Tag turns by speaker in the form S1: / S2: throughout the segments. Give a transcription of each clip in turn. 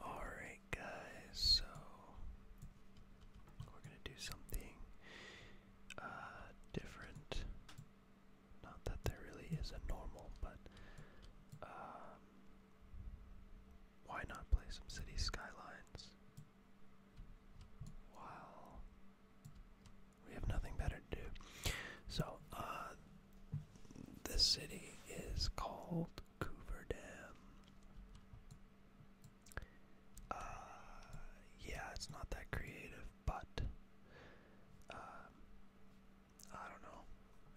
S1: Alright, guys, so we're gonna do something uh, different. Not that there really is a normal, but um, why not play some City Skylines? While we have nothing better to do. So, uh, the city is called Coover uh, yeah, it's not that creative, but um, I don't know.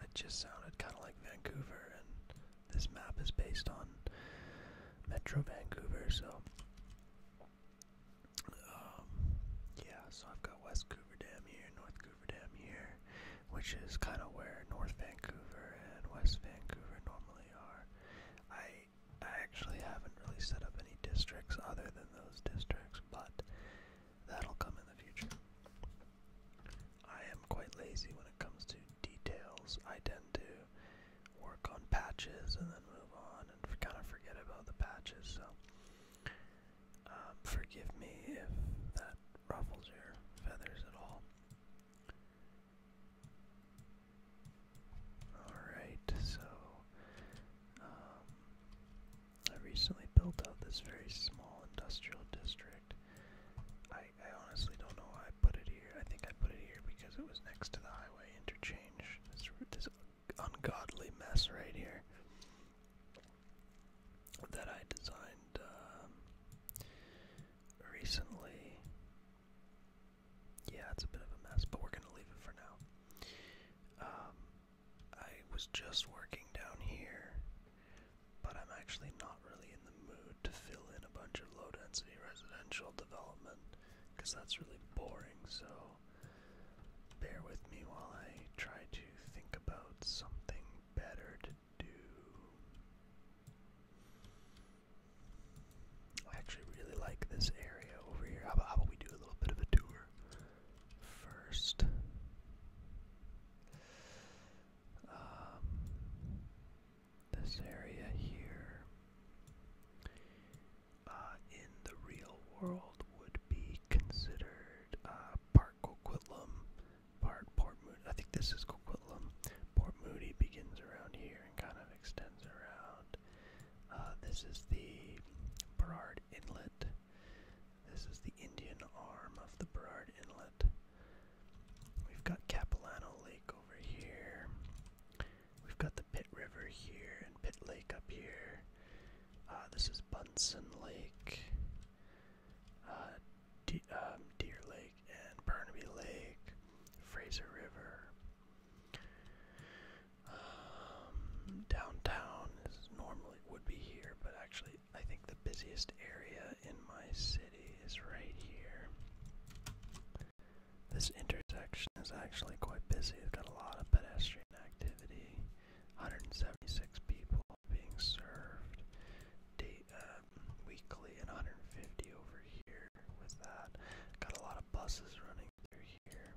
S1: It just sounded kind of like Vancouver, and this map is based on Metro Vancouver, so. Um, yeah, so I've got West Coover here, North Vancouver here, which is kind of where North Vancouver and West Vancouver normally are. I I actually haven't really set up any districts other than those districts, but that'll come in the future. I am quite lazy when it comes to details. I tend to work on patches and then move on and kind of forget about the patches. So um, forgive me if that ruffles your feathers at all. Alright, so um, I recently built out this very small industrial district. I, I honestly don't know why I put it here. I think I put it here because it was next to the highway interchange. This, this ungodly mess right here that I designed um, recently. Yeah, it's a bit of a mess, but we're gonna leave it for now. Um, I was just working down here, but I'm actually not really in the mood to fill in a bunch of low-density residential development because that's really boring. So bear with me while I try to think about something better to I actually really like this area over here. How about, we do a little bit of a tour first? Um, this area here uh, in the real world would be considered a uh, Park Coquitlam part, Port Moody. I think this is Coquitlam. Port Moody begins around here and kind of extends around. Uh, this is the Burrard Inlet. This is the Indian arm of the Burrard Inlet. We've got Capilano Lake over here. We've got the Pit River here and Pit Lake up here. Uh, this is Bunsen Lake uh, De um, Deer Lake and Burnaby Lake, Fraser River. Um, downtown is normally would be here, but actually I think the busiest area in my city is right here. This intersection is actually quite busy. We've got a lot of pedestrian activity. 176 people being served uh, weekly and 150 over here with that. Got a lot of buses running through here.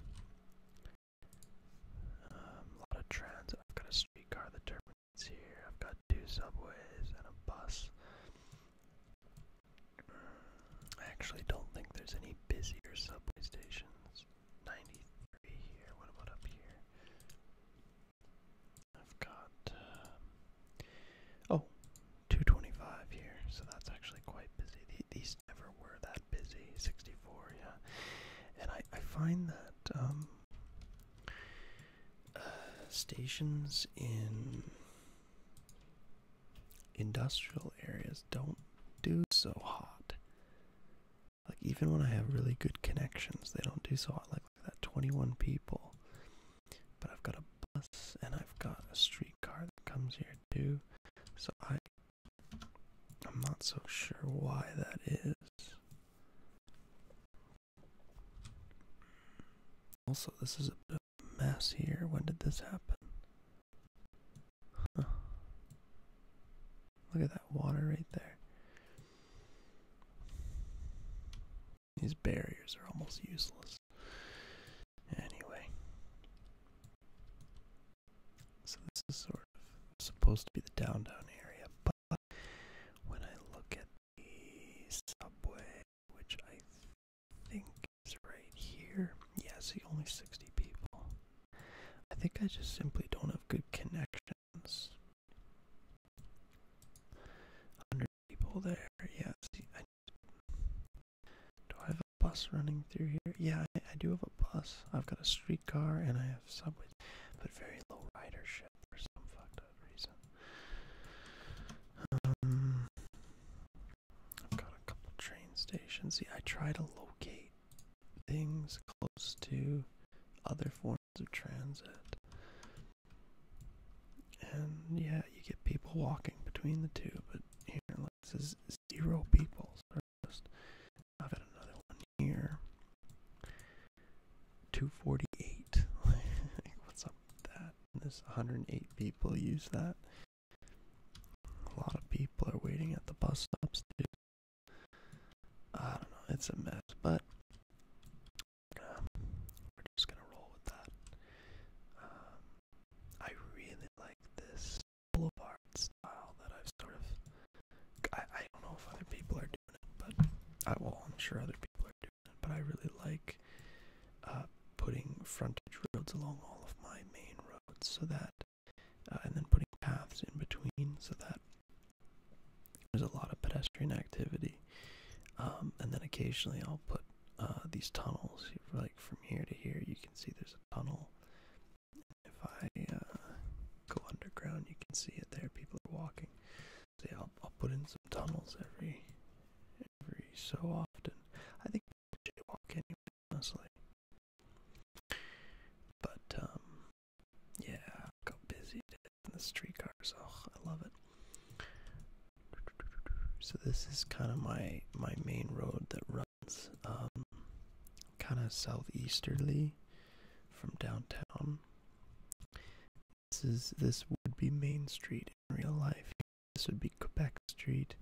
S1: Um, a lot of transit. I've got a streetcar that terminates here. I've got two subways and a bus. I actually don't think there's any busier subway stations. 93 here. What about up here? I've got um, oh, 225 here, so that's actually quite busy. These never were that busy. 64, yeah, and I I find that um, uh, stations in industrial areas don't do so hot. Like even when I have really good connections, they don't do so hot. Like Look that, 21 people. But I've got a bus and I've got a streetcar that comes here too. So I, I'm not so sure why that is. Also, this is a bit of a mess here. When did this happen? Look at that water right there. These barriers are almost useless. Anyway. So this is sort of supposed to be the downtown area, but when I look at the subway, which I think is right here, yeah, see only 60 people. I think I just simply don't have good connections options. Hundred people there. Yeah. I, do I have a bus running through here? Yeah, I, do have a bus. I've got a streetcar and I have subway, but very low ridership for some fucked up reason. Um, I've got a couple train stations. See, I try to locate things close to other forms of transit. And yeah, you get people walking between the two, but here like, this is zero people. So just, I've got another one here. 248. What's up with that? This 108 people use that. A lot of people are waiting at the bus stops too. I don't know, it's a mess, but we're just gonna roll with that. Um, I really like this boulevard style that I've sort of. I, I don't know if other people are doing it, but I uh, will. I'm sure other people are doing it, but I really like uh, putting frontage roads along all of my main roads so that, uh, and then putting paths in between so that there's a lot of pedestrian activity, um, and then occasionally I'll put uh, these tunnels. Like from here to here, you can see there's a tunnel. If I uh, go underground, you can see it there. People are walking. So I'll, put in some tunnels every every so often. I think people jaywalk anyway, honestly. But um, yeah, got busy in the streetcars. Oh, I love it. So this is kind of my my main road that runs um, kind of southeasterly from downtown. This is this would be Main Street in real life. This would be Quebec Street.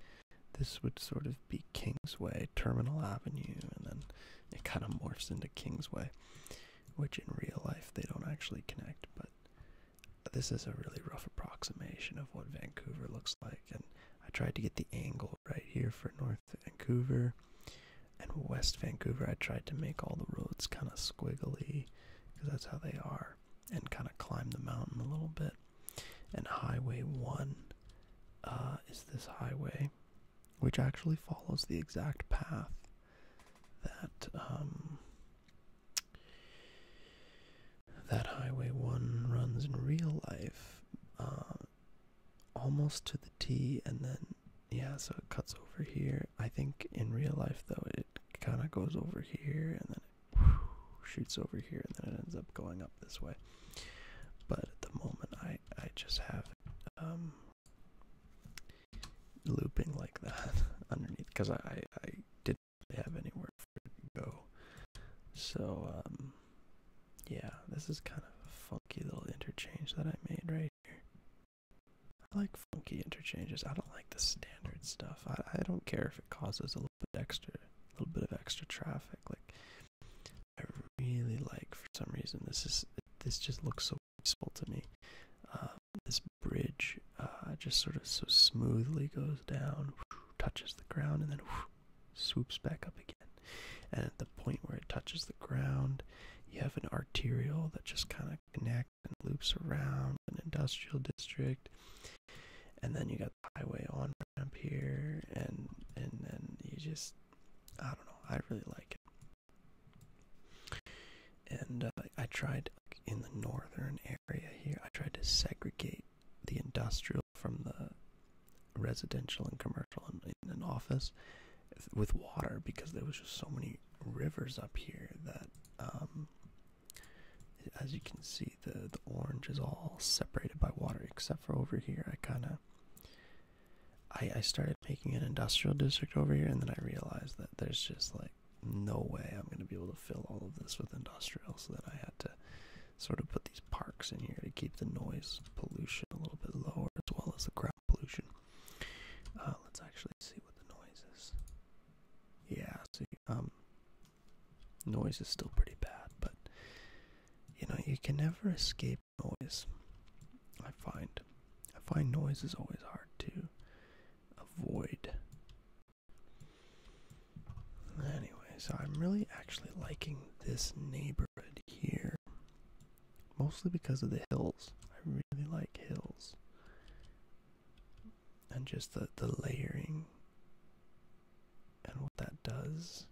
S1: This would sort of be Kingsway, Terminal Avenue, and then it kind of morphs into Kingsway which in real life they don't actually connect, but this is a really rough approximation of what Vancouver looks like. And I tried to get the angle right here for North Vancouver and West Vancouver. I tried to make all the roads kind of squiggly because that's how they are and kind of climb the mountain a little bit. And Highway 1 uh, is this highway, which actually follows the exact path that um, that Highway One runs in real life, uh, almost to the T, and then yeah, so it cuts over here. I think in real life though, it kind of goes over here, and then shoots over here, and then it ends up going up this way. But at the moment, I I just have um, looping like that underneath because I, didn't have anywhere for it to go. So, um, yeah, this is kind of a funky little interchange that I made right here. I like funky interchanges. I don't like the standard stuff. I, I don't care if it causes a little bit extra, a little bit of extra traffic. Like, I really like for some reason this is this just looks so useful to me. Um, this bridge uh, just sort of so smoothly goes down, touches the ground, and then swoops back up again. And at the point where it touches the ground, you have an arterial that just kind of connects and loops around an industrial district. And then you got the highway on ramp here, and and then you just, I don't know, I really like it. And uh, I tried in the northern area here, I tried to segregate the industrial from the residential and commercial and office with water because there was just so many rivers up here that um, as you can see the orange is all separated by water except for over here I kind of I started making an industrial district over here, and then I realized that there's just like no way I'm going to be able to fill all of this with industrial, so then I had to sort of put these parks in here to keep the noise pollution a little bit lower as well as the ground pollution. Uh, let's actually see what the noise is. Yeah, see, um, noise is still pretty bad, but you know, you can never escape noise. I find I find noise is always hard too avoid. so I'm really actually liking this neighborhood here. Mostly because of the hills. I really like hills. And just the, the layering and what that does.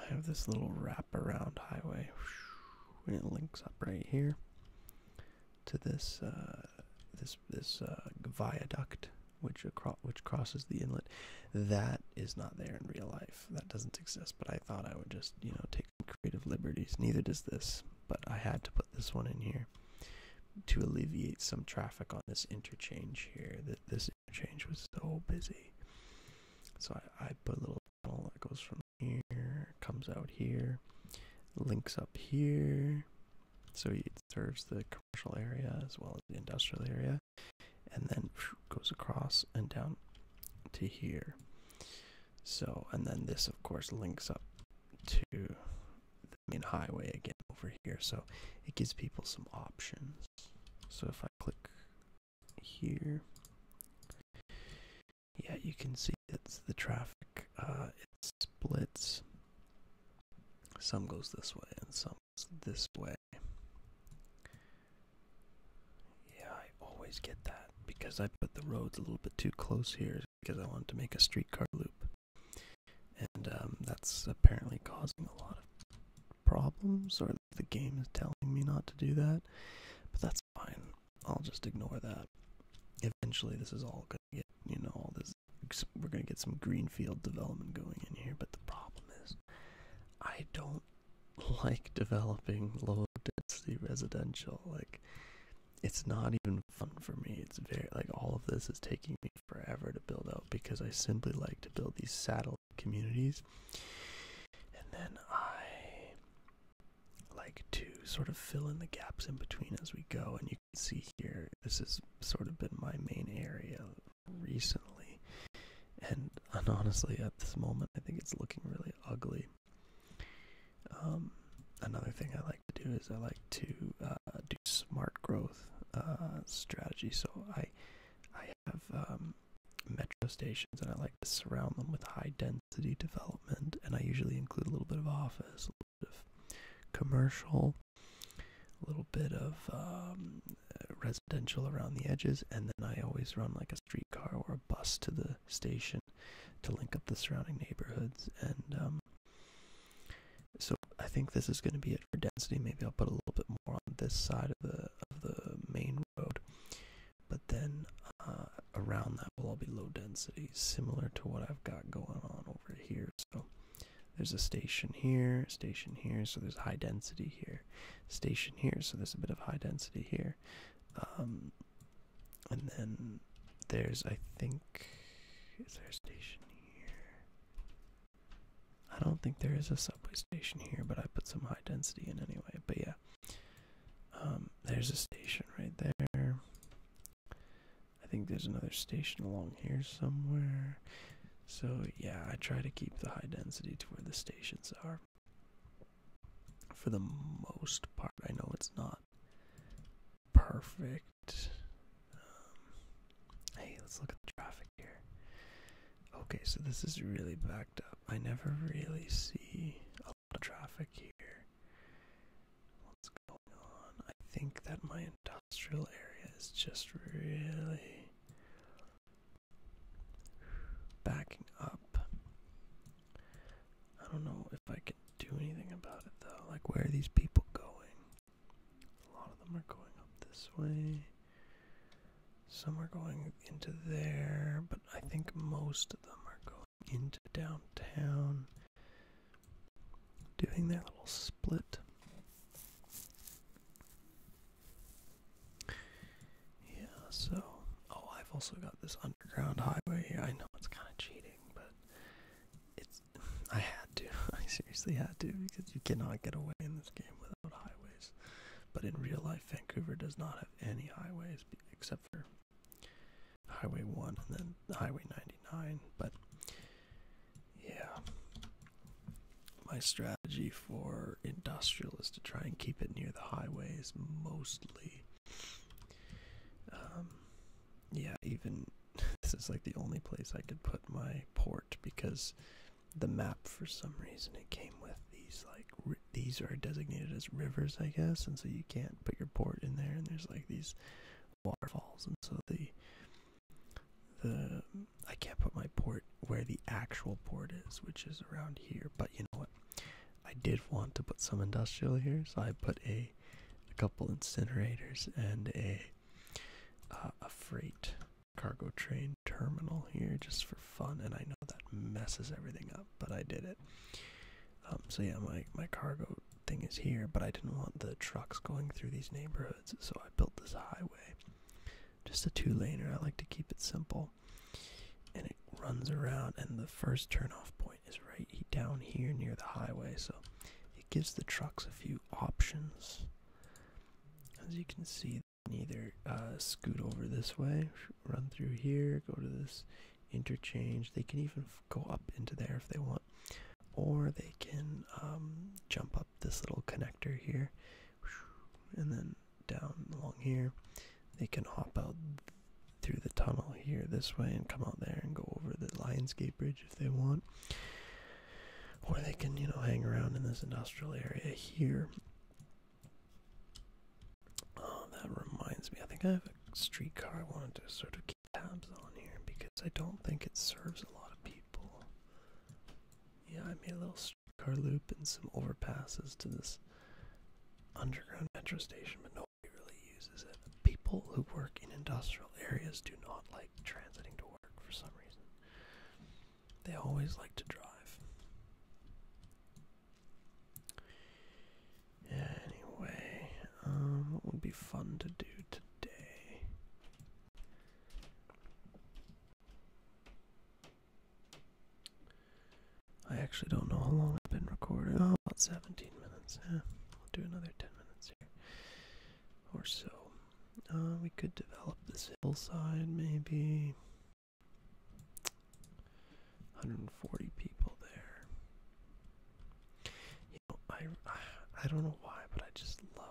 S1: I have this little wrap around highway and it links up right here to this uh, this this uh, viaduct which across which crosses the inlet. That is not there in real life. That doesn't exist. But I thought I would just you know take creative liberties. Neither does this. But I had to put this one in here to alleviate some traffic on this interchange here. That this interchange was so busy. So I, I put a little tunnel that goes from here, comes out here, links up here. So it serves the commercial area as well as the industrial area, and then goes across and down to here. So, and then this, of course, links up to the main highway again over here. So it gives people some options. So if I click here. Yeah, you can see it's the traffic. Uh, it splits. Some goes this way and some goes this way. Yeah, I always get that because I put the roads a little bit too close here because I wanted to make a streetcar loop. And um, that's apparently causing a lot of problems, or the game is telling me not to do that. But that's fine. I'll just ignore that. Eventually, this is all gonna get, you know, all this. We're gonna get some greenfield development going in here, but the problem is, I don't like developing low density residential. Like, it's not even fun for me. It's very, like, all of this is taking me forever to build out because I simply like to build these satellite communities. And then I like to sort of fill in the gaps in between as we go. And you can see here, this has sort of been my main area recently. And, honestly, at this moment, I think it's looking really ugly. Um, another thing I like to do is I like to uh, do smart growth uh, strategy. So I, I have um, metro stations, and I like to surround them with high density development and I usually include a little bit of office, a little bit of commercial, a little bit of um, residential around the edges, and then I always run like a streetcar or a bus to the station to link up the surrounding neighborhoods. And um, so I think this is going to be it for density. Maybe I'll put a little bit more on this side of the of the main road but then uh, around that will all be low density, similar to what I've got going on over here. So there's a station here, station here, so there's high density here, station here, so there's a bit of high density here. Um, and then there's, I think, is there a station here? I don't think there is a subway station here, but I put some high density in anyway. But yeah, um, there's a station right there. I think there's another station along here somewhere. So, yeah, I try to keep the high density to where the stations are. For the most part, I know it's not perfect. Um, hey, let's look at the traffic here. Okay, so this is really backed up. I never really see a traffic here. What's going on? I think that my industrial area is just really backing up. I don't know if I can do anything about it though. Like, where are these people going? A lot of them are going up this way. Some are going into there, but I think most of them are going into downtown, doing that little split. Yeah, so, oh, I've also got this underground highway here. I know it's kind of cheating, but it's, I had to. I seriously had to because you cannot get away in this game without highways. But in real life, Vancouver does not have any highways except for Highway 1 and then Highway 99. But yeah, my strategy for industrial is to try and keep it near the highways mostly. Um, yeah, even this is like the only place I could put my port because the map, for some reason, it came with these like these are designated as rivers, I guess, and so you can't put your port in there. And there's like these waterfalls, and so the the I can't put my port where the actual port is, which is around here. But you know what? I did want to put some industrial here, so I put a a couple incinerators and a a freight cargo train terminal here just for fun. And I know that messes everything up, but I did it. Um, so yeah, my my cargo thing is here, but I didn't want the trucks going through these neighborhoods, so I built this highway. Just a two-laner. I like to keep it simple, and it runs around. And the first turnoff point is right down here near the highway, so it gives the trucks a few options. As you can see, either uh, scoot over this way, run through here, go to this interchange. They can even go up into there if they want, or they can um, jump up this little connector here, and then down along here. They can hop out through the tunnel here this way and come out there and go over the Lionsgate Bridge if they want. Or they can, you know, hang around in this industrial area here Oh, that reminds me. I think I have a streetcar I wanted to sort of keep tabs on here because I don't think it serves a lot of people. Yeah, I made a little streetcar loop and some overpasses to this underground metro station, but nobody really uses it. People who work in industrial areas do not like transiting to work for some reason. They always like to drive anyway, um, what would be fun to do today? I actually don't know how long I've been recording. Oh, about 17 minutes. Yeah, we'll do another 10 minutes here or so. Uh, we could develop this hillside, maybe. 140 people there. You know, I I don't know why, but I just love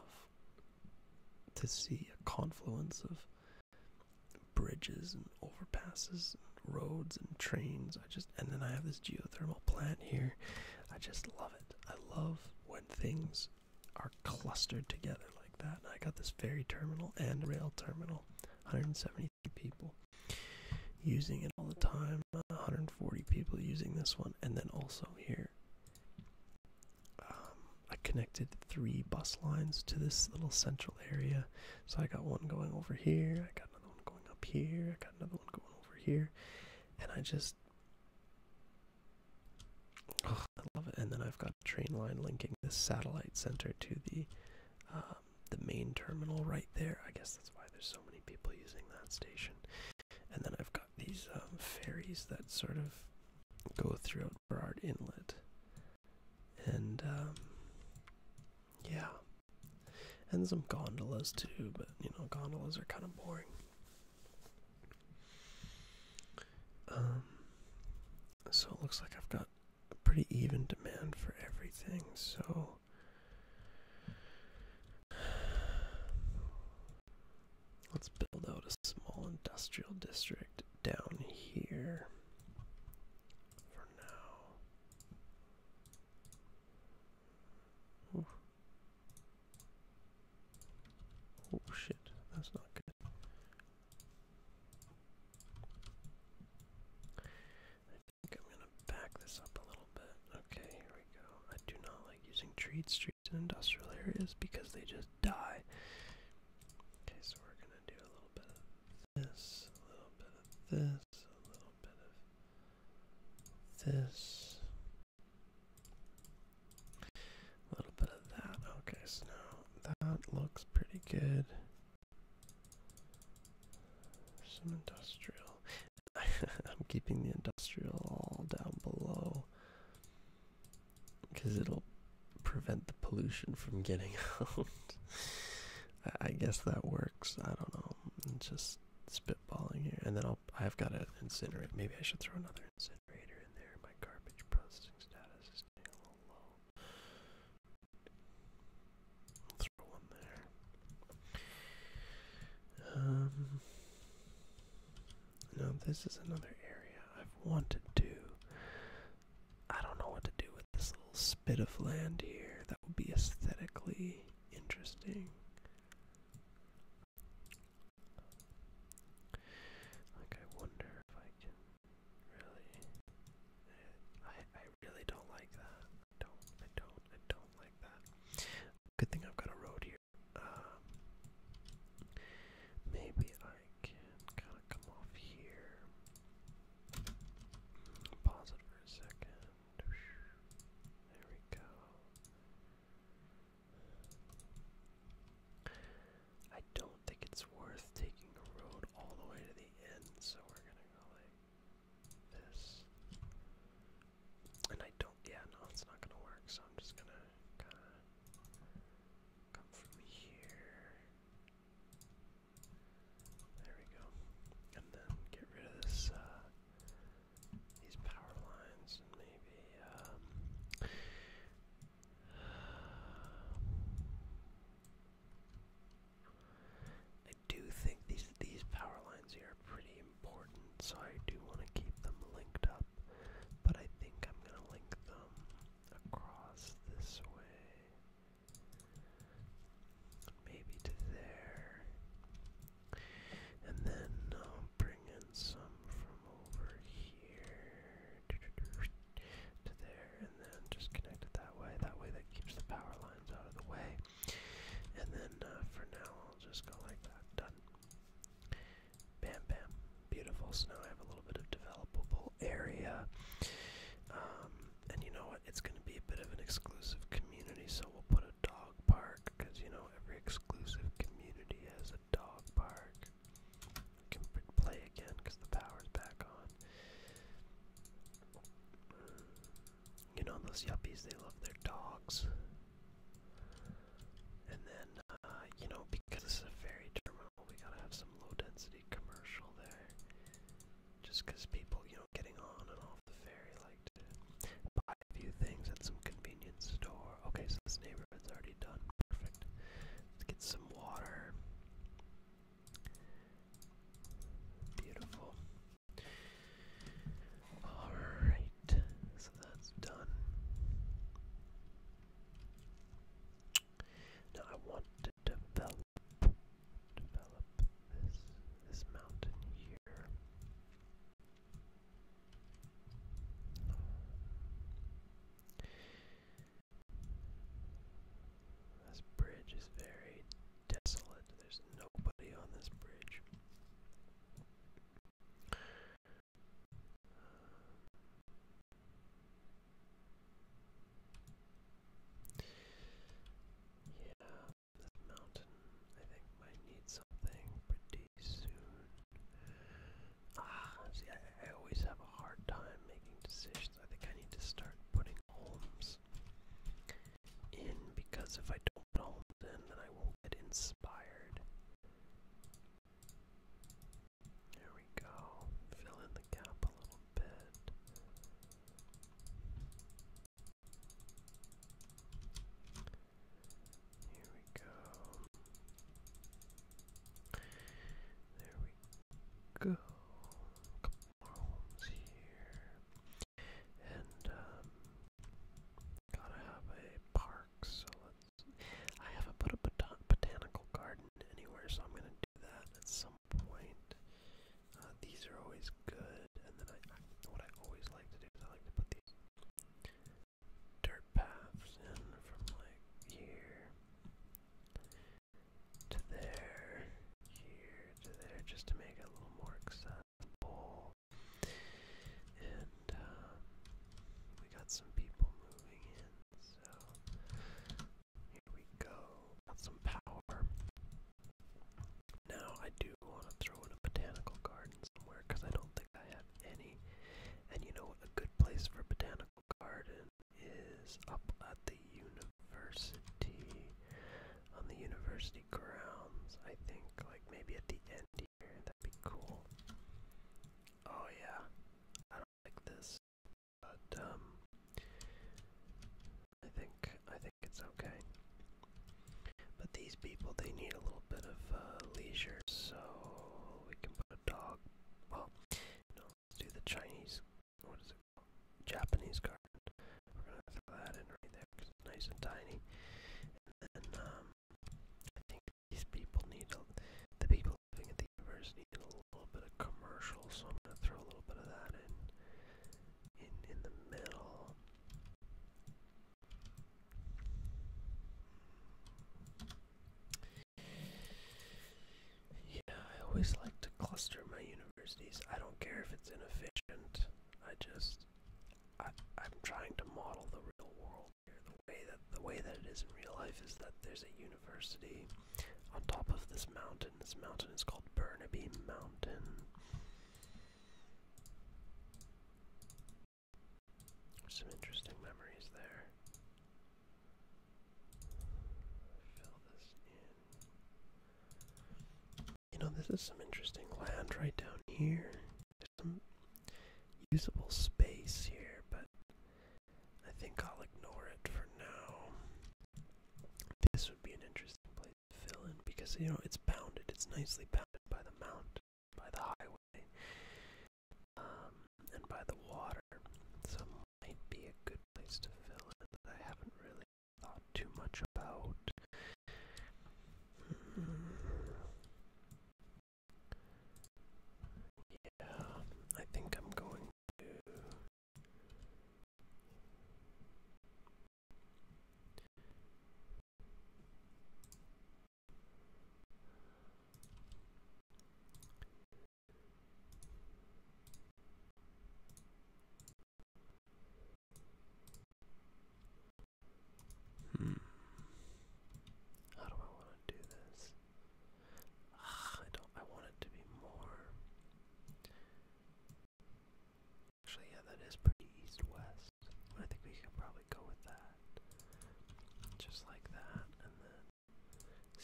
S1: to see a confluence of bridges and overpasses and roads and trains. I just and then I have this geothermal plant here. I just love it. I love when things are clustered together like that. I got this ferry terminal and rail terminal, 170 people using it all the time. 140 people using this one, and then also here. Um, I connected three bus lines to this little central area. So I got one going over here, I got another one going up here, I got another one going over here, and I just. I love it. And then I've got a train line linking this satellite center to the um, the main terminal right there. I guess that's why there's so many people using that station. And then I've got these um, ferries that sort of go throughout Burrard Inlet. And um, yeah. And some gondolas too, but you know, gondolas are kind of boring. Um, so it looks like I've got pretty even demand for everything, so let's build out a small industrial district down here for now. Oh shit, that's not good. I think I'm gonna back this up a little bit. Okay, here we go. I do not like using treed streets in industrial areas because they just die. Okay, so we're gonna do a little bit of this, a little bit of this, a little bit of this, a little bit of that. Okay, so now that looks pretty good. Some industrial. I'm keeping the industrial all down below because it'll prevent the pollution from getting out. I guess that works. I don't know. just spitballing here. And then I'll, I've got an incinerator. Maybe I should throw another incinerator in there. My garbage processing status is getting a little low. Um, now this is another area I've wanted to. I don't know what to do with this little spit of land here. That would be aesthetically interesting. Like I wonder if I can really. I I really don't like that. I don't, I don't, I don't like that. Good thing I've got a road here. Uh, maybe I can kind of come off here. Pause it for a second. There we go. I don't think it's worth taking a road all the way to the end, so we're gonna go like this. And I don't, yeah, no, it's not gonna work, so I'm just gonna kinda come from here. There we go. And then get rid of this, uh, these power lines and maybe, um, I do think these these power lines here are pretty important, so I do want to keep them linked up. But I think I'm gonna link them across this way, maybe to there, and then I'll bring in some from over here to there, and then just connect it that way. That way, that keeps the power lines out of the way. And then uh, for now, I'll just go like that. Done. Bam, bam. Beautiful. So now I have a little bit of developable area. Um, and you know what? It's going to be a bit of an exclusive community, so we'll put a dog park because you know every exclusive community has a dog park. can play again because the power's back on. You know those yuppies, they love their dogs. And then, uh, you know, because this is a ferry terminal, we gotta have some low-density commercial there. Just because people, you know, getting on and off the ferry like to buy a few things at some convenience store. Okay, so this neighborhood's already done. Perfect. Let's get some water. Beautiful. Alright, so that's done. Now I want to develop this this mountain here. This bridge is very desolate. There's nobody on this bridge. yeah, this mountain I think might need something pretty soon. Ah, see, I always have a hard time making decisions. I think I need to start putting homes in because if I don't know then I won't get inspired. There we go. Fill in the gap a little bit. Here we go. There we go. Marlon's here. And um gotta have a park, so let's I haven't put a botan botanical garden anywhere, so I'm gonna do that at some point. Uh, these are always good, and then I, I what I always like to do is I like to put these dirt paths in from like here to there, here to there, just to make it a little more accessible. And uh, we got some people moving in, so here we go. Got some power. Now I do want to throw in a botanical garden somewhere because I don't think I have any. And you know A good place for a botanical garden is up at the Unova university, on the university grounds. I think, like maybe at the end here, that'd be cool. Oh yeah, I don't like this, but um, I think I think it's okay. But these people, they need a little bit of uh, leisure, so we can put a dog. Well, no, let's do the Chinese. What is it? Called? Japanese car. We're gonna throw that in right there it's nice and tiny. And then um, I think these people need the people living at the university a little bit of commercial, so I'm gonna throw a little bit of that in in in the middle. Yeah, I always like to cluster my universities. I don't care if it's inefficient. I just I I'm trying to model the real world here. The way that the way that it is in real life is that there's a university on top of this mountain. This mountain is called Burnaby Mountain. Some interesting memories there. Fill this in. You know, this is some interesting land right down here. There's some usable space here, but I think I'll ignore it for now. This would be an interesting place to fill in because, you know, it's bounded. It's nicely bounded by the mountain, by the highway, um, and by the water. So it might be a good place to fill in that I haven't really not too much about. Hmm. Yeah, I think I'm going to. Hmm. How do I want to do this? Ah, I don't. I want it to be more. Actually, yeah, that is pretty east-west. I think we can probably go with that, just like that, and then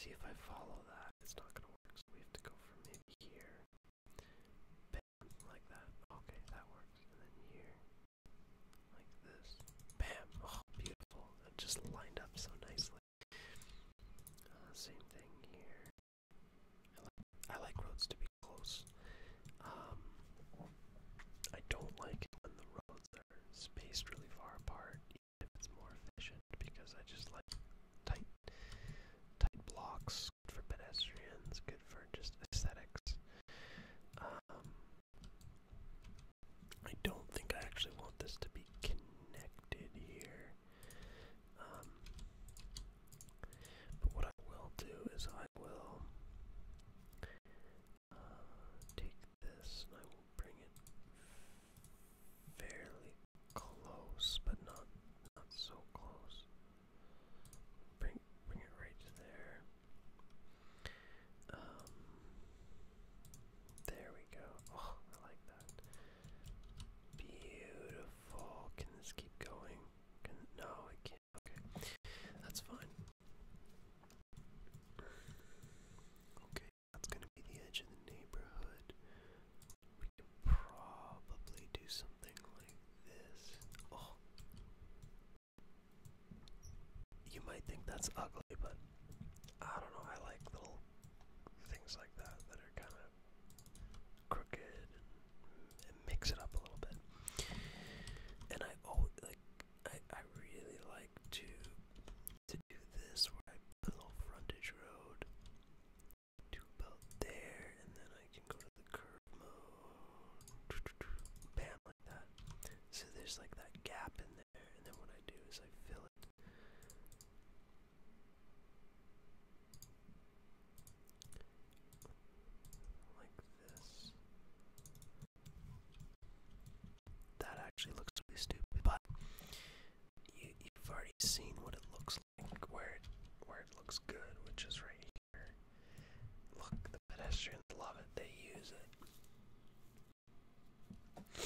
S1: see if I follow that. It's not gonna work, so we have to go from maybe here like that. Okay, that works. And then here, like this. Bam! Oh, beautiful. It just lined up so nicely. Uh, same thing here. I like, roads to be close. Um, I don't like when the roads are spaced really far apart, even if it's more efficient, because I just like tight, tight blocks for pedestrians, good for just aesthetics. Um, I don't think I actually want this to be connected here. Um, but what I will do is I will uh, take this and I will bring it fairly close, but not not so close. Bring bring it right to there. Um there we go. Oh, I like that. Beautiful. Can this keep going? no it can't. Okay. That's fine. Okay, that's gonna be the edge of the neighborhood. We could probably do some something like this. Oh. You might think that's ugly, but I don't know. I like little things like that that are kind of crooked and, and mix it up a little bit. And I oh like I I really like to to do this where I put a little frontage road so there's like that gap in there, and then what I do is I fill it. Like this. That actually looks pretty stupid, but you, you've already seen what it looks where it, looks good, which is right here. Look, the pedestrians love it, they use it.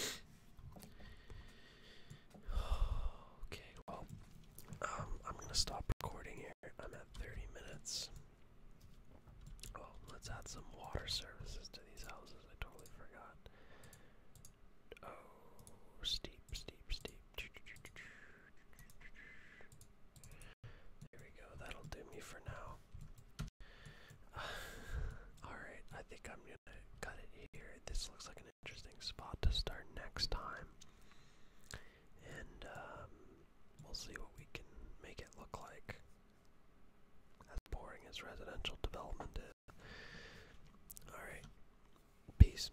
S1: okay, well, um, I'm gonna stop recording here. I'm at 30 minutes. Oh, let's add some water services to these houses. I totally forgot. Oh, steep, steep, steep. There we go, that'll do me for now. Alright, I think I'm gonna cut it here. This looks like an interesting spot to start next time. And um, we'll see what we can make it look like. As boring as residential development is. Alright, peace.